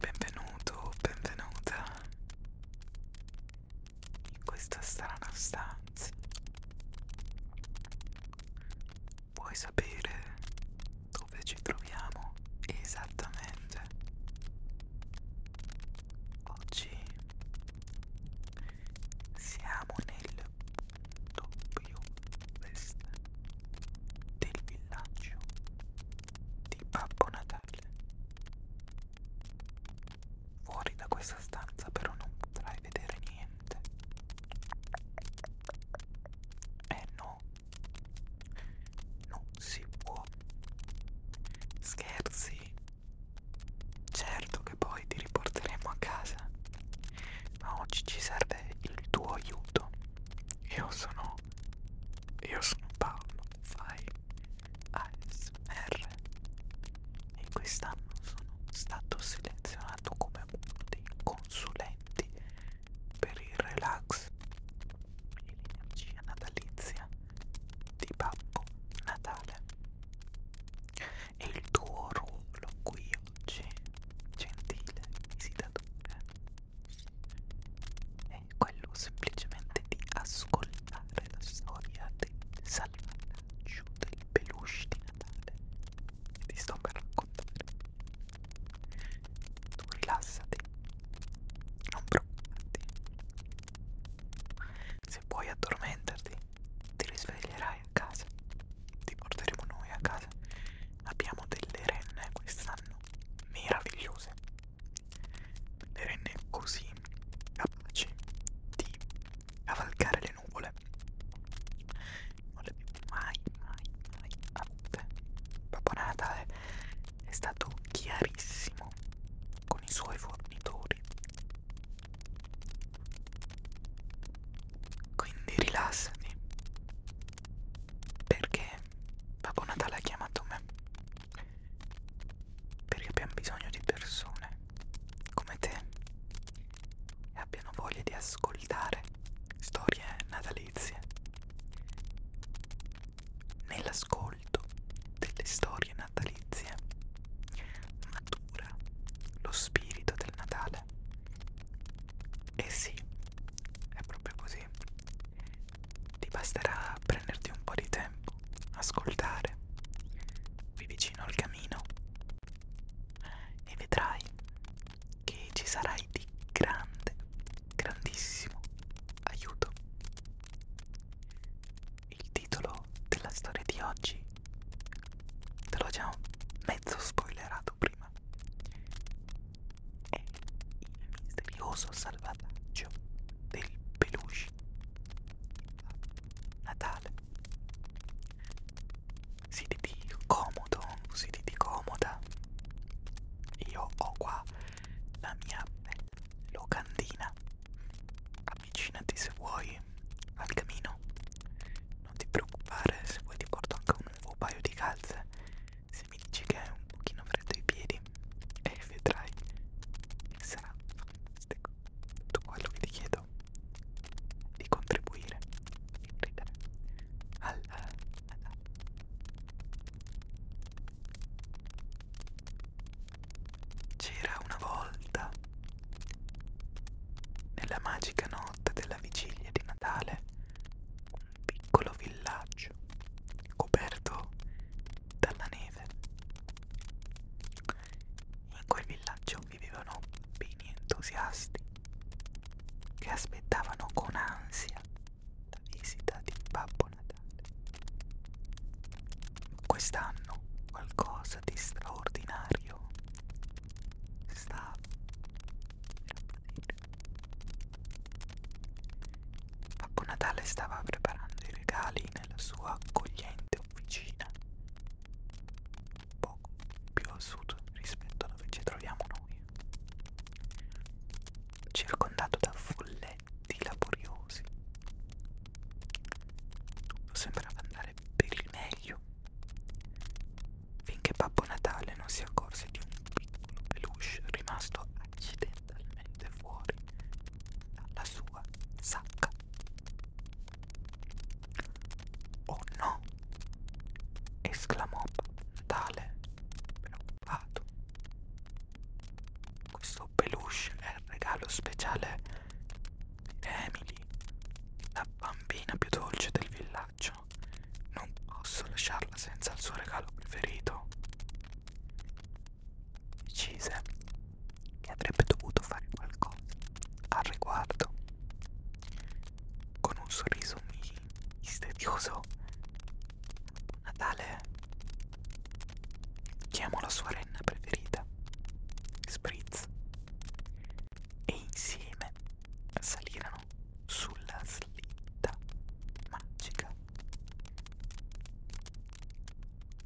Benvenuto, benvenuta in questa strana stanza Vuoi sapere dove ci troviamo esattamente? Oggi siamo nel doppio vest del villaggio di Babbo Natale. Fuori da questa stanza però non potrai vedere niente. Eh no, non si può scherzi certo che poi ti riporteremo a casa ma oggi ci serve il tuo aiuto io sono io sono Paolo fai ASMR e quest'anno sono stato selezionato come uno dei consulenti per il relax e l'energia natalizia di Babbo Natale. E il tuo ruolo qui oggi, gentile visitatore, è quello semplicemente di ascoltare la storia del salvataggio del peluche di Natale ti sto per raccontare. Tu rilassati, non preoccuparti. Se puoi addormentarti, ti risveglierai a casa. Ti porteremo noi a casa. Abbiamo delle renne quest'anno meravigliose. Le renne così capaci di cavalcare le nuvole avute non le abbiamo mai mai mai avute ah, Babbo Natale è stato chiarissimo con i suoi fornitori quindi rilassati perché Babbo Natale ha chiamato me perché abbiamo bisogno di persone come te e abbiano voglia di ascoltare storie natalizie. Nell'ascolto delle storie natalizie matura lo spirito del Natale. E eh sì, è proprio così. Ti basterà prenderti un po' di tempo, ascoltare, vi vicino al camino e vedrai che ci sarai di grande, grandissimo aiuto. Il titolo della storia di oggi te l'ho già mezzo spoilerato prima. È il misterioso salvataggio del peluche. Natale siediti comodo, siediti comoda. Io ho qua la mia locandina. Avvicinati se vuoi al camino. Non ti preoccupare, se vuoi ti porto anche un nuovo paio di calze. Se mi dici che è un pochino freddo i piedi, e eh, vedrai che sarà tutto quello che ti chiedo di contribuire di ridere al, al c'era una volta nella magica notte della vigilia di Natale un piccolo villaggio coperto dalla neve in quel villaggio vivevano beni entusiasti che aspettavano con ansia la visita di Babbo Natale. Quest'anno qualcosa di straordinario stava Babbo Natale stava preparando i regali nella sua accogliente officina poco più a sud rispetto a dove ci troviamo noi, circondato da folletti laboriosi. Tutto sembrava andare per il meglio, finché Babbo Natale non si accorse di un piccolo peluche rimasto accidentalmente fuori la sua sacca. Oh no! esclamò Natale preoccupato. Questo peluche è il regalo speciale di Emily, la bambina più dolce del villaggio. Non posso lasciarla senza il suo regalo preferito decise che avrebbe dovuto fare qualcosa al riguardo. Con un sorriso misterioso, Natale chiamò la sua renna preferita, Spritz, e insieme salirono sulla slitta magica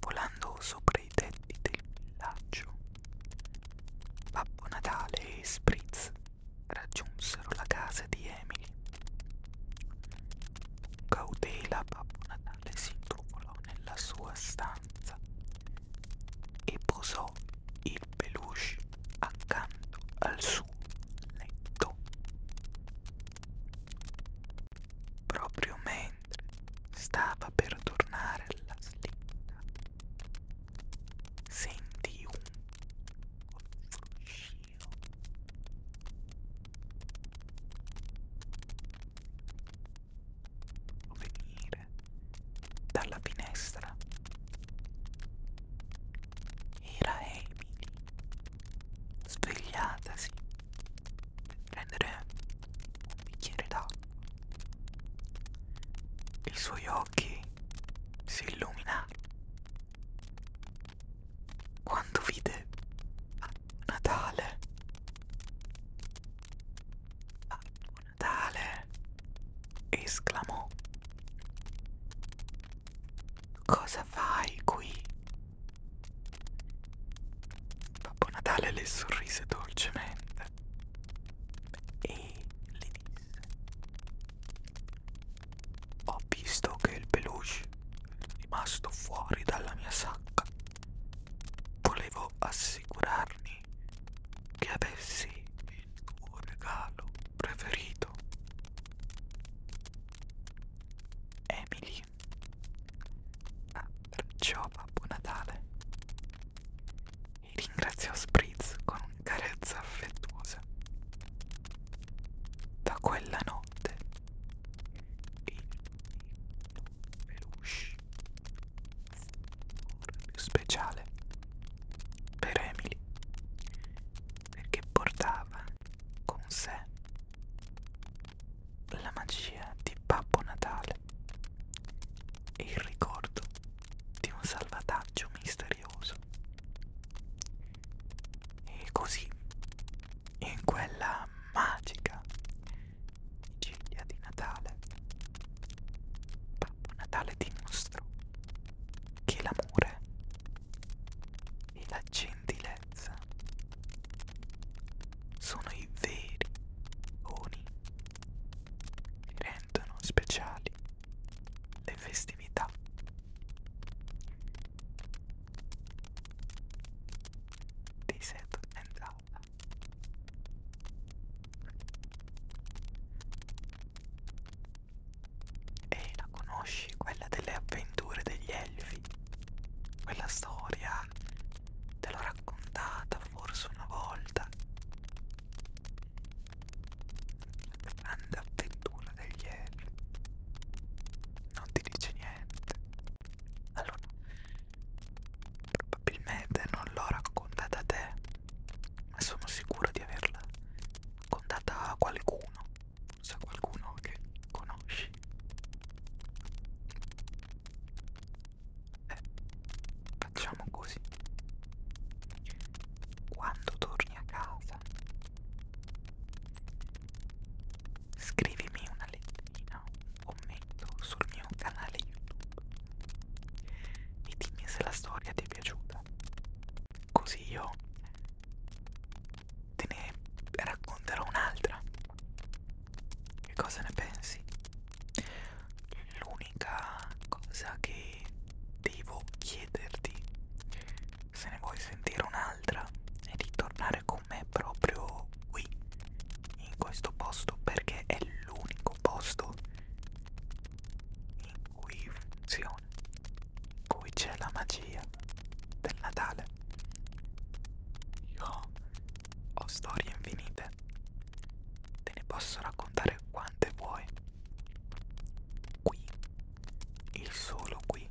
volando sopra i tetti del villaggio. Babbo Natale e Spritz raggiunsero la casa di Emily. Cautela Babbo Natale si intrufolò nella sua stanza e posò il peluche accanto al suo letto proprio mentre stava per tornare alla slitta, sentì un fruscio. Venire dalla finestra era Emily svegliatasi per prendere un bicchiere d'acqua. I suoi occhi si illuminarono quando vide Babbo Natale. Babbo Natale esclamò Cosa fai qui? Babbo Natale le sorrise dolcemente e le disse: Ho visto che il peluche è rimasto fuori dalla mia sacca. Volevo assicurarmi che avessi il tuo regalo preferito. Emily. Ah, perciò Babbo Natale. E ringraziò Spritz con una carezza affettuosa. Da quella notte il peluche più speciale per Emily perché portava con sé la magia di Babbo Natale e il ricordo di un salvataggio misterioso. E così, in quella magica vigilia di Natale, Babbo Natale dimostrò che l'amore e la gentilezza sono i veri doni che rendono speciali le festività. Di Seto and Alba. E la conosci, quella delle avventure degli elfi? Quella storia te l'ho raccontata forse una volta. La grande avventura degli elfi. Non ti dice niente. Allora, probabilmente non l'ho raccontata a te, ma sono sicuro di averla raccontata a qualcuno sa qualcuno che conosci eh, facciamo così quando torni a casa scrivimi una letterina un commento sul mio canale youtube e dimmi se la storia ti è piaciuta così io te ne racconterò un'altra. Che cosa ne pensi? L'unica cosa che devo chiederti, se ne vuoi sentire un'altra, è di tornare con me proprio qui, in questo posto, perché è l'unico posto in cui funziona, in cui c'è la magia del Natale. Io ho storie infinite, te ne posso raccontare quante vuoi. Qui, il solo qui,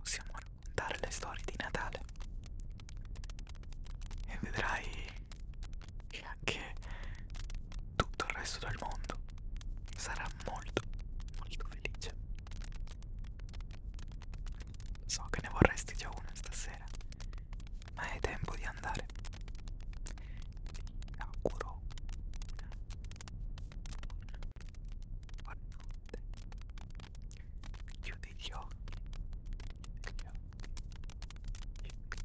possiamo raccontare le storie di Natale. E vedrai e anche tutto il resto del mondo sarà molto molto felice so che ne vorresti già una stasera ma è tempo di andare ti auguro una buona notte chiudi gli occhi chiudi gli occhi